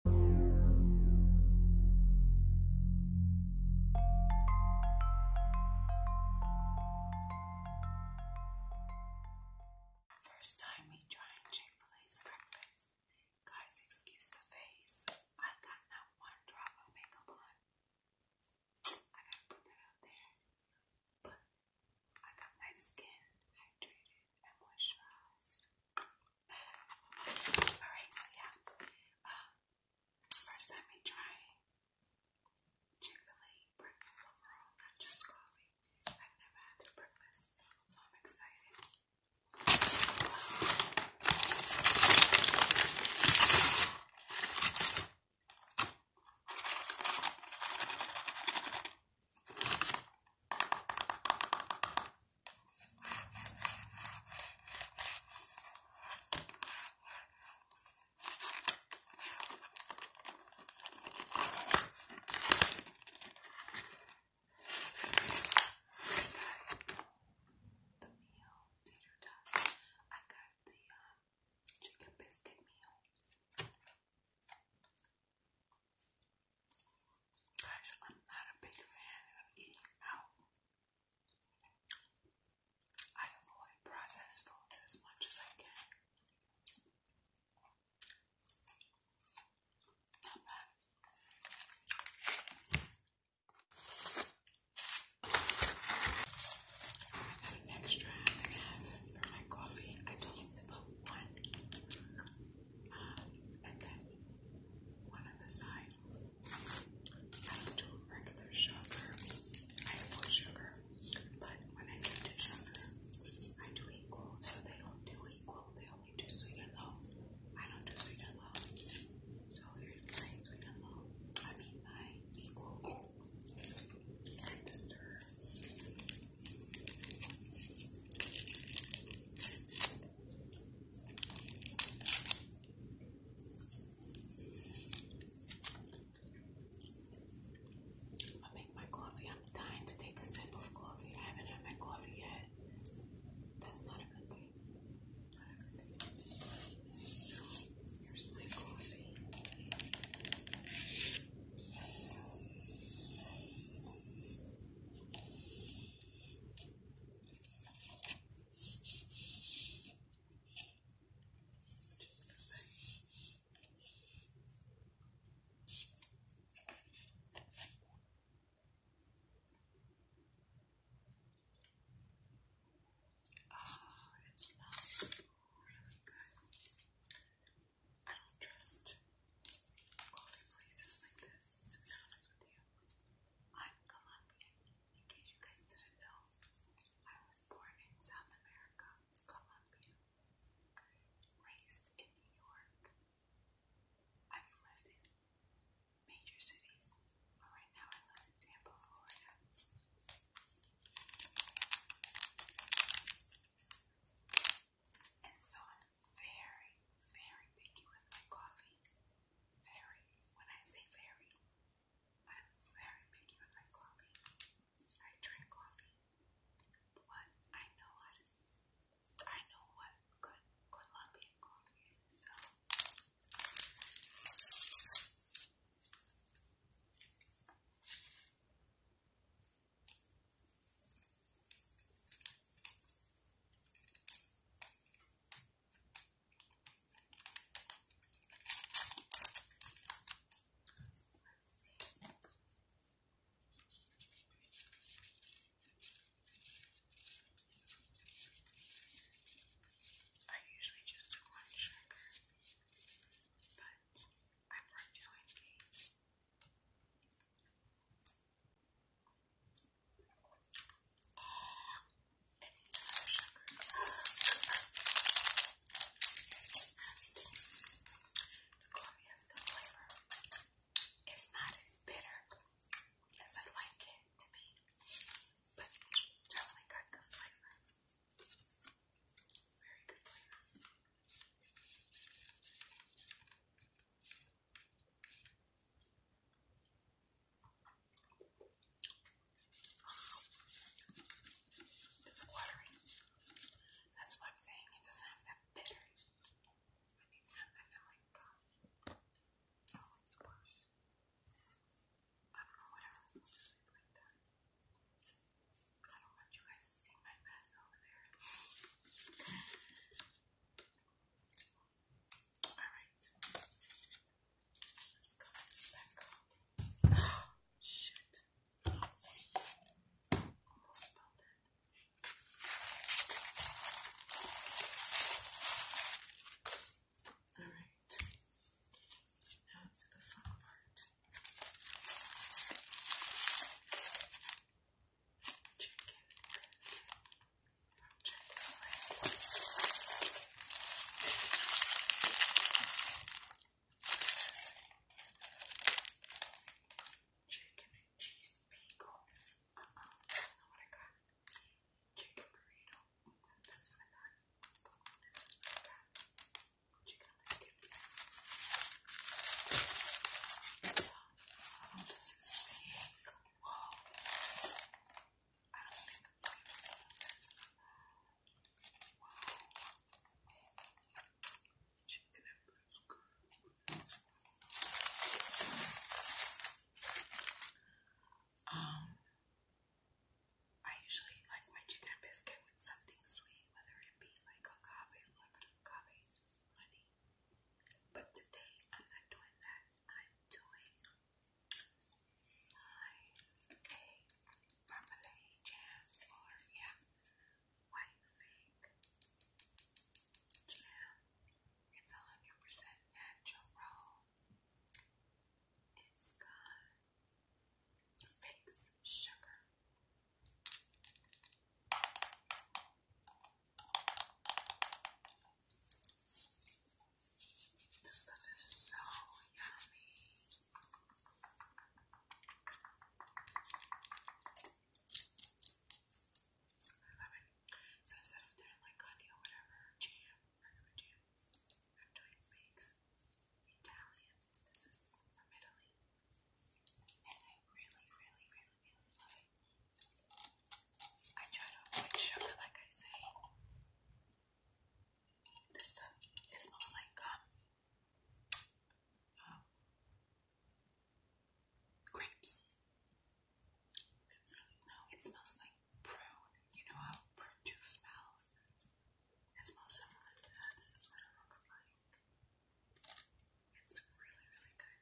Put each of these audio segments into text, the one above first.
First time me trying Chick-fil-A's breakfast. Guys, excuse the face. I got not one drop of makeup on. I gotta put that out there. But I got my skin hydrated and moisturized. Alright, so yeah. Um, first time we try Chick-fil-A breakfast overall, not just coffee. I've never had breakfast, so I'm excited. The meal, tater tots. I got the um, chicken biscuit meal. Guys, I'm not a big fan of eating out. I avoid processed foods as much as I can. Not bad. an extra half for my coffee. I told him to put one um, and then one on the side. I don't do regular sugar. I avoid sugar. But when I do sugar, I do equal. So they don't do equal. They only do sweet and low. I don't do sweet and low. So here's my sweet and low. I mean my equal. And stir i make my coffee. I'm dying to take a sip of coffee. I haven't had my coffee yet. That's not a good thing. here's my coffee. Oh, ah, it smells really good. I don't trust coffee places like this, to be honest with you. I'm Colombian. In case you guys didn't know, I was born in South America, Colombia. Raised in New York. I've lived in major cities, but right now I live in Tampa, Florida. And so I'm very, very picky with my coffee. Very. When I say very, I'm very picky with my coffee. I drink coffee. What I know what is I know what good Colombian coffee so I usually just one sugar, but I'm not doing these. The Korea's the flavor. It's not as bitter as I like it to be, but it's definitely got good flavor. Very good flavor. It's watery. That's what I'm saying. It doesn't have that bitter. I feel like uh, oh, it's worse. I don't know what I will just leave like that. I don't want you guys to see my mess over there. Alright. Let's cover Shit. Almost about it. Alright. Now to the fun part. Chicken biscuit and cheese bagel. Uh-uh, that's not what I got. Chicken burrito. Mm -hmm, that's This is what I got. Chicken biscuit. Oh, I don't think I'm going this. Wow. Chicken and um, I usually like my chicken biscuit with something sweet, whether it be like a coffee, a little of coffee, honey, but today I'm not doing that. I'm doing my egg jam or yeah, white fig jam. It's hundred natural. It's got fake sugar, this stuff is so yummy. So instead of doing like honey or whatever, jam, I'm doing wigs. Italian. This is from Italy. And I really, really, really, really love it. I try to avoid sugar, like I say. This stuff, it smells like um, um grapes. No, it smells like prune. You know how prune juice smells? It smells similar to This is what it looks like. It's really, really good.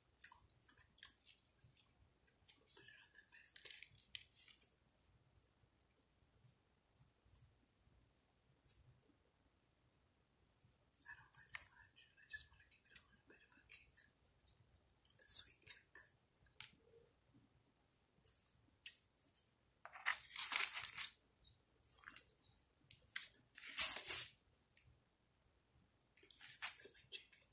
Put it I don't like it much. I just want to give it a little bit of a kick. The sweet kick. It's my chicken.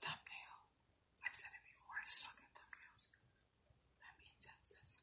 Thumbnail. I've said it before, I thumbnails. Let me attempt this.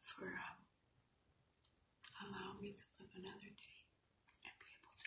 for um, allowing me to live another day and be able to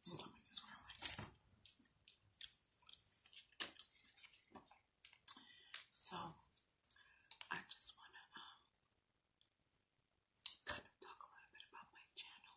Stomach is So I just want to um, kind of talk a little bit about my channel.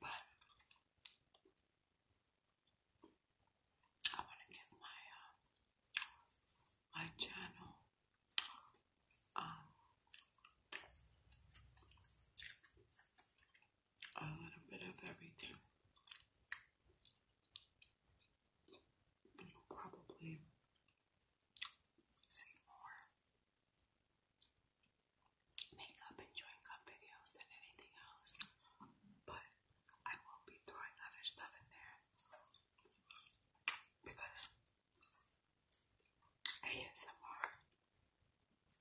But I want to give my uh, my channel um, a little bit of everything. You'll probably see more makeup and join cup videos than anything else, but I will be throwing other stuff in there because ASMR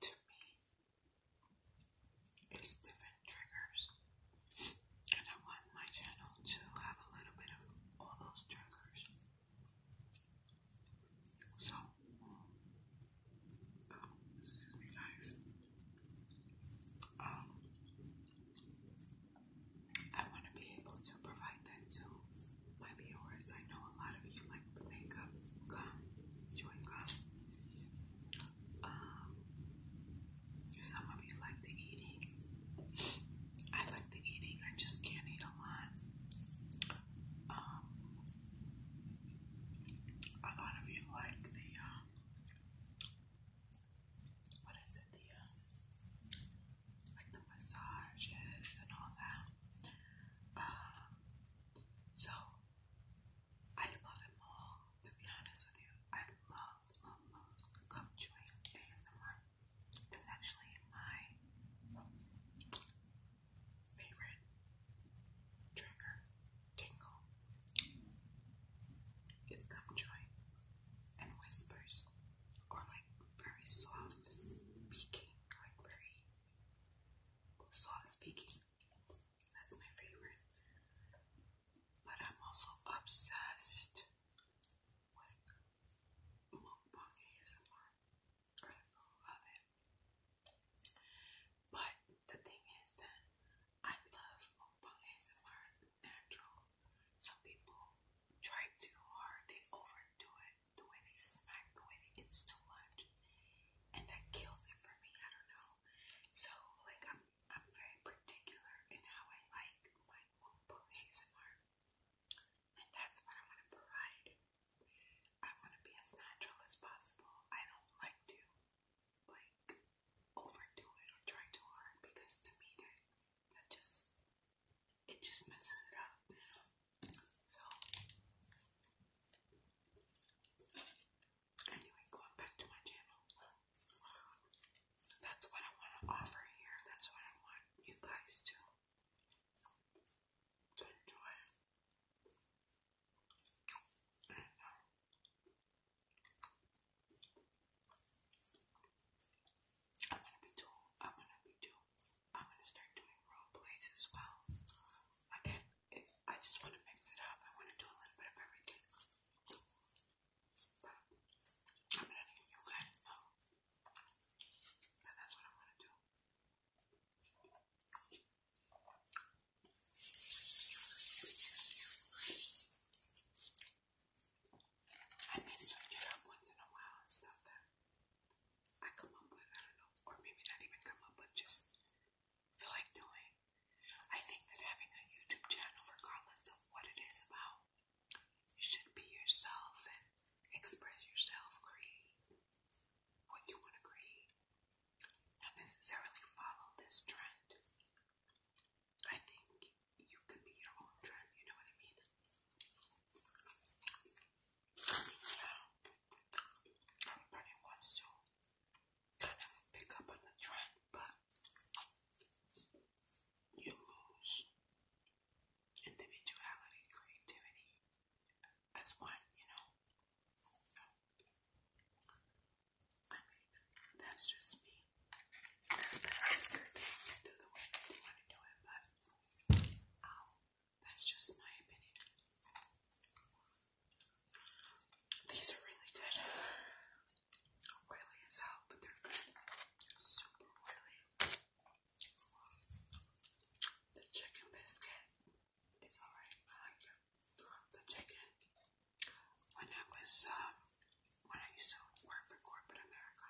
to me is different triggers, and I want my channel to have a little bit of all those triggers. So, um, excuse me, guys. Um, I want to be able to provide that to my viewers. I know a lot of you like the makeup, gum, chewing gum. Um, some of you like the eating. I like the eating. I just can't eat a lot. Um, a lot of you like the, um, what is it, the, um, like the massages and all that. Um, so, I love them all, to be honest with you. I love, love, love gum ASMR. It's actually my Favorite trigger tingle is gum joy and whispers, or like very soft speaking, like very soft speaking. That's my favorite. But I'm also obsessed with mukbang ASMR. I love it. But the thing is that I love mukbang ASMR natural. Some people try too hard, they overdo it, the way they smack, the way it's too much. And that kills it for me, I don't know. So like I'm I'm very particular in how I like my mukbang ASMR and that's what I want to provide. I want to be as natural as possible. I don't like to like overdo it or try too hard because to me that that just it just messes it up. So anyway, going back to my channel. That's what I want to offer here. That's what I want you guys to to enjoy. I'm gonna be doing, I'm gonna be doing, I'm gonna start doing role plays as well. Again, it, I just want to mix it up. I want to do a little bit of everything. But I'm gonna let you guys know that that's what I'm gonna do. I may switch it up once in a while and stuff that I come up with, I don't know, or maybe not even come up with, just feel like doing. I think that having a YouTube channel, regardless of what it is about, you should be yourself Express yourself, create what you want to create. Not necessarily follow this trend. I think you could be your own trend, you know what I mean? everybody wants to kind of pick up on the trend, but you lose individuality, creativity, as one, you know. So, that's just me. That's their thing to do the way that they want to do it, but um, that's just my opinion. These are really good. Oily as hell, but they're good. Super oily. The chicken biscuit is alright. I like it. The chicken. When I was um, when I used to work for corporate America,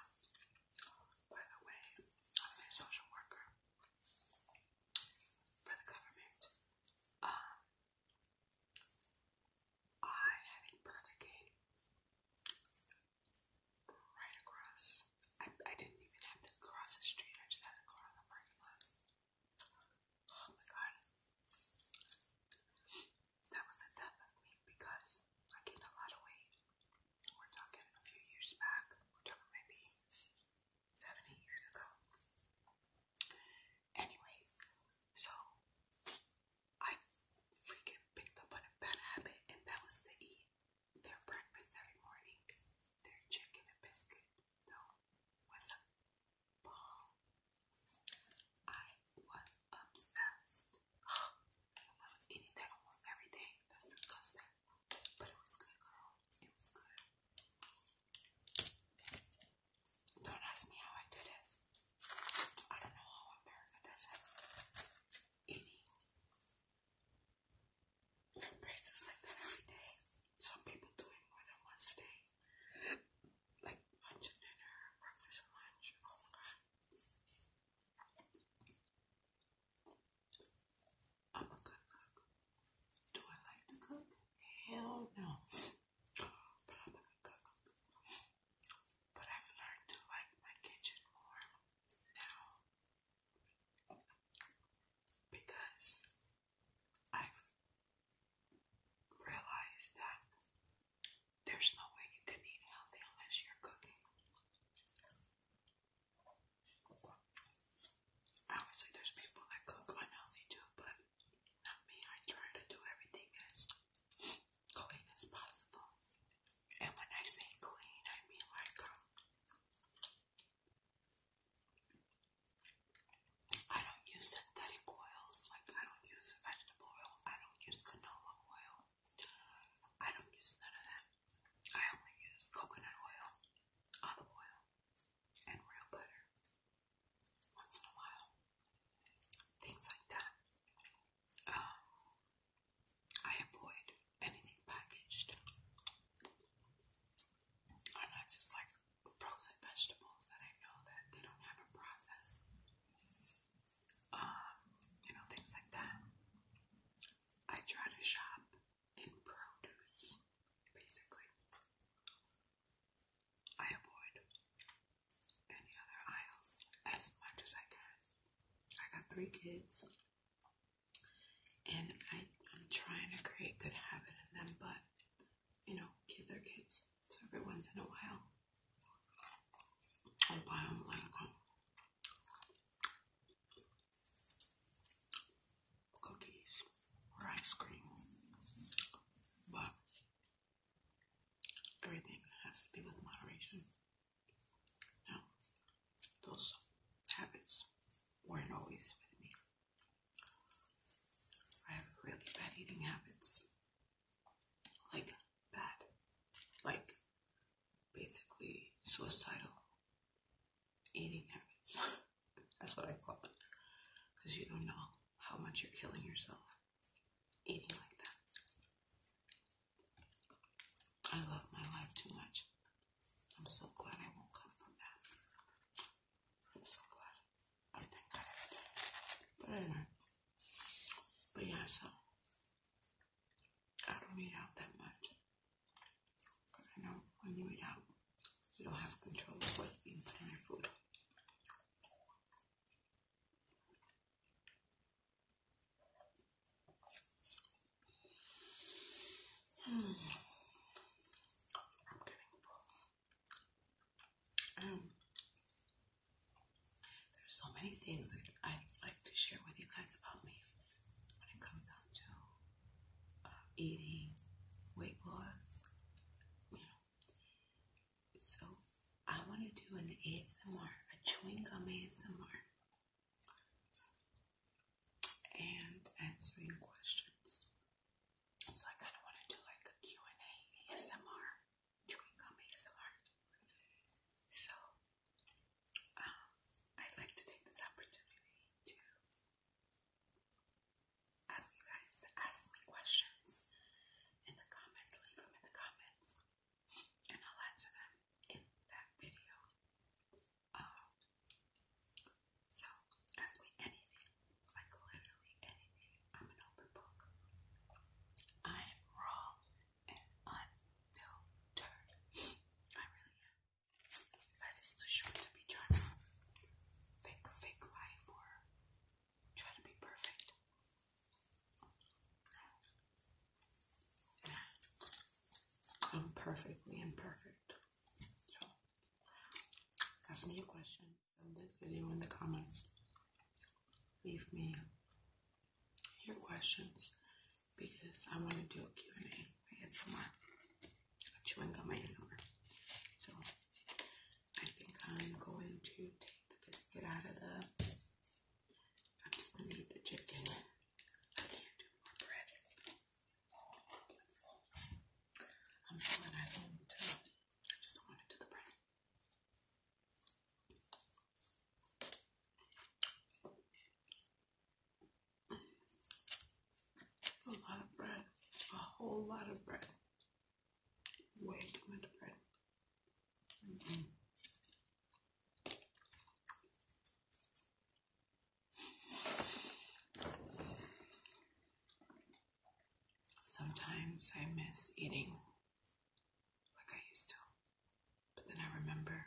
by the way, I was a social worker for the government. Um, I had a Burger right across. I, didn't even have to cross the street, I just had a car on the parking lot. Oh my god. That was the death of me because I gained a lot of weight. We're talking a few years back, we maybe seven, eight years ago. Anyways, so I freaking picked up on a bad habit, and that was to eat their breakfast every morning, their chicken and biscuit, though, was a ball. I was obsessed. I was eating that almost every day. That's disgusting. But it was good, girl. It was good. Don't ask me how I did it. I don't know how America does it. Eating braces like that every day. Some people do more than once a day. Like lunch and dinner, breakfast and lunch. I'm a good cook. Do I like to cook? Hell no. But I'm a good cook. But I've learned to like my kitchen more now because I've realized that there's no way you can eat healthy unless you're cooking. Obviously, there's people that cook unhealthy too, but not me. I try to do everything as clean as possible. And when I say clean, I mean like um, I don't use synthetic oils, like I don't use vegetable oil, I don't use canola oil, I don't use none of that. I only use coconut oil, olive oil, and real butter once in a while. Things like that. Um, I avoid anything packaged. Unless it's like frozen vegetables that I know that they don't have a process. Um, you know, things like that. I try to shop in produce, basically. I avoid any other aisles as much as I can. I got three kids. And I, am trying to create good habit in them, but you know, kids are kids. So every once in a while, I'll buy them like, oh, cookies or ice cream. But everything has to be with moderation. Now, those habits weren't always with me. I have really bad eating habits. Like, bad. Like, basically, suicidal eating habits. That's what I call it. Because you don't know how much you're killing yourself eating like that. I love my life too much I'm so glad I won't come from that. I'm so glad. I thank God I did But anyway. But yeah, so I don't eat out that much. Because I know when you eat out, you don't have control of what's being put in your food. Um, there's so many things that I'd like to share with you guys about me when it comes down to uh, eating, weight loss, you know. So I want to do an ASMR, a chewing gum ASMR and answering questions. So I kind of want to like a and a ASMR, chewing gum ASMR. So um, I'd like to take this opportunity to ask you guys to ask me questions in the comments, leave them in the comments, and I'll answer them in that video. Um, so ask me anything, like literally anything. I'm an open book. I am raw and unfiltered. I really am. Life is too short to be trying to fake fake life or try to be perfect. I'm perfectly imperfect. So, ask me a question in this video in the comments. Leave me your questions because I want to do a Q&A. I get somewhere. Chewing gum ASMR. So, I think I'm going to take the biscuit out of the. I'm just going to eat the chicken. I can't do more bread. Oh, I'm full. I'm full uh, I just don't want to do the bread. A lot of bread. A whole lot of bread. Way too much bread. Sometimes I miss eating like I used to, but then I remember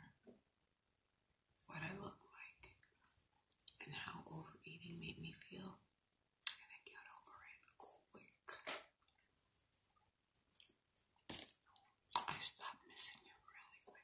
what I looked like and how overeating made me feel, and I got over it quick. I stopped missing you really quick.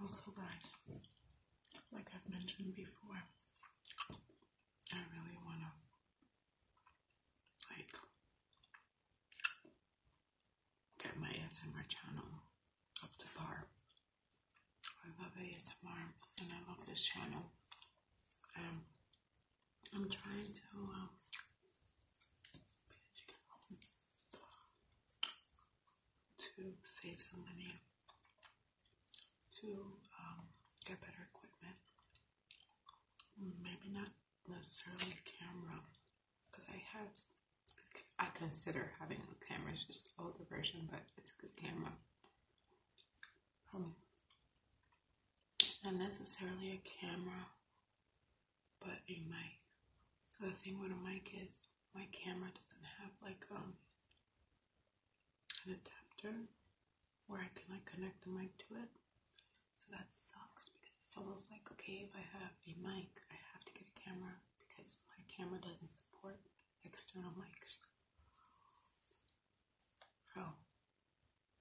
Also, guys, like I've mentioned before, I really want to like get my ASMR channel up to par. I love ASMR and I love this channel. Um, I'm trying to um, to save some money to um, get better equipment. Maybe not necessarily a camera, because I have I consider having a camera. It's just older version, but it's a good camera. Um, not necessarily a camera, but a mic. The thing with a mic is my camera doesn't have like um, an adapter where I can like connect the mic to it. So that sucks because it's almost like okay if I have a mic I have to get a camera because my camera doesn't support external mics. So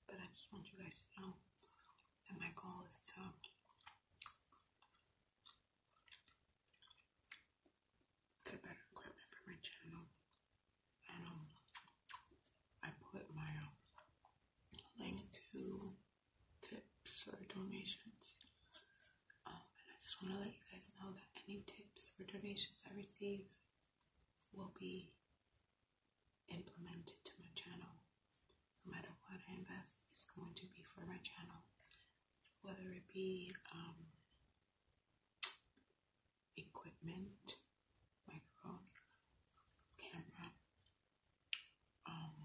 but I just want you guys to know that my goal is to get better equipment for my channel. And um, I put my um, link to tips or donations. Um, and I just want to let you guys know that any tips or donations I receive will be implemented to my channel. No matter what I invest, it's going to be for my channel. Whether it be um, equipment, microphone, camera, um,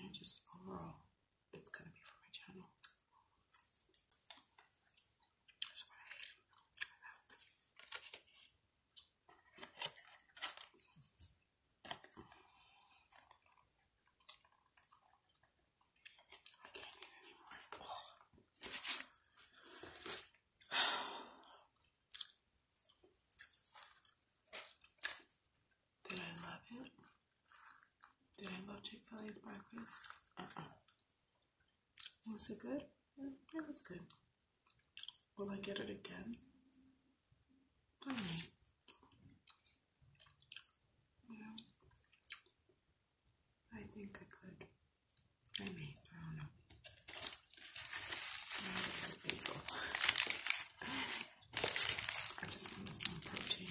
and just overall, it's gonna be for my channel. That's what I can't eat anymore. Did I love it? Did I love Chick fil A's breakfast? Was it good? Yeah, it was good. Will I get it again? I hmm. mean, yeah. I think I could. I mean, I don't know. I just wanted some protein.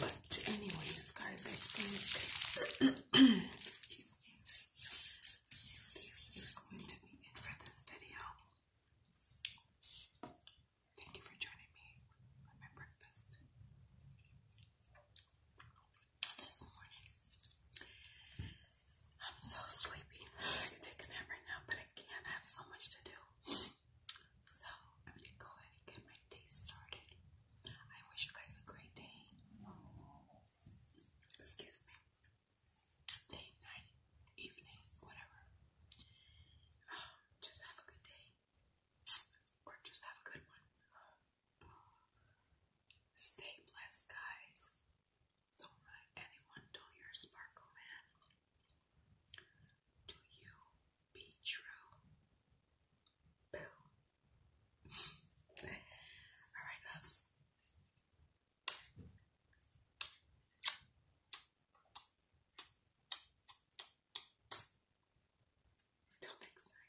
But anyways, guys, I think Excuse me. This is going to be it for this video. Thank you for joining me on my breakfast this morning. I'm so sleepy. I can take a nap right now, but I can't. I have so much to do. So I'm gonna go ahead and get my day started. I wish you guys a great day. Excuse me. Day, night, evening, whatever. just have a good day. Or just have a good one. Stay blessed, guys. Don't let anyone dull your sparkle, man. Do you be true? Boom. Alright, loves. Till next time.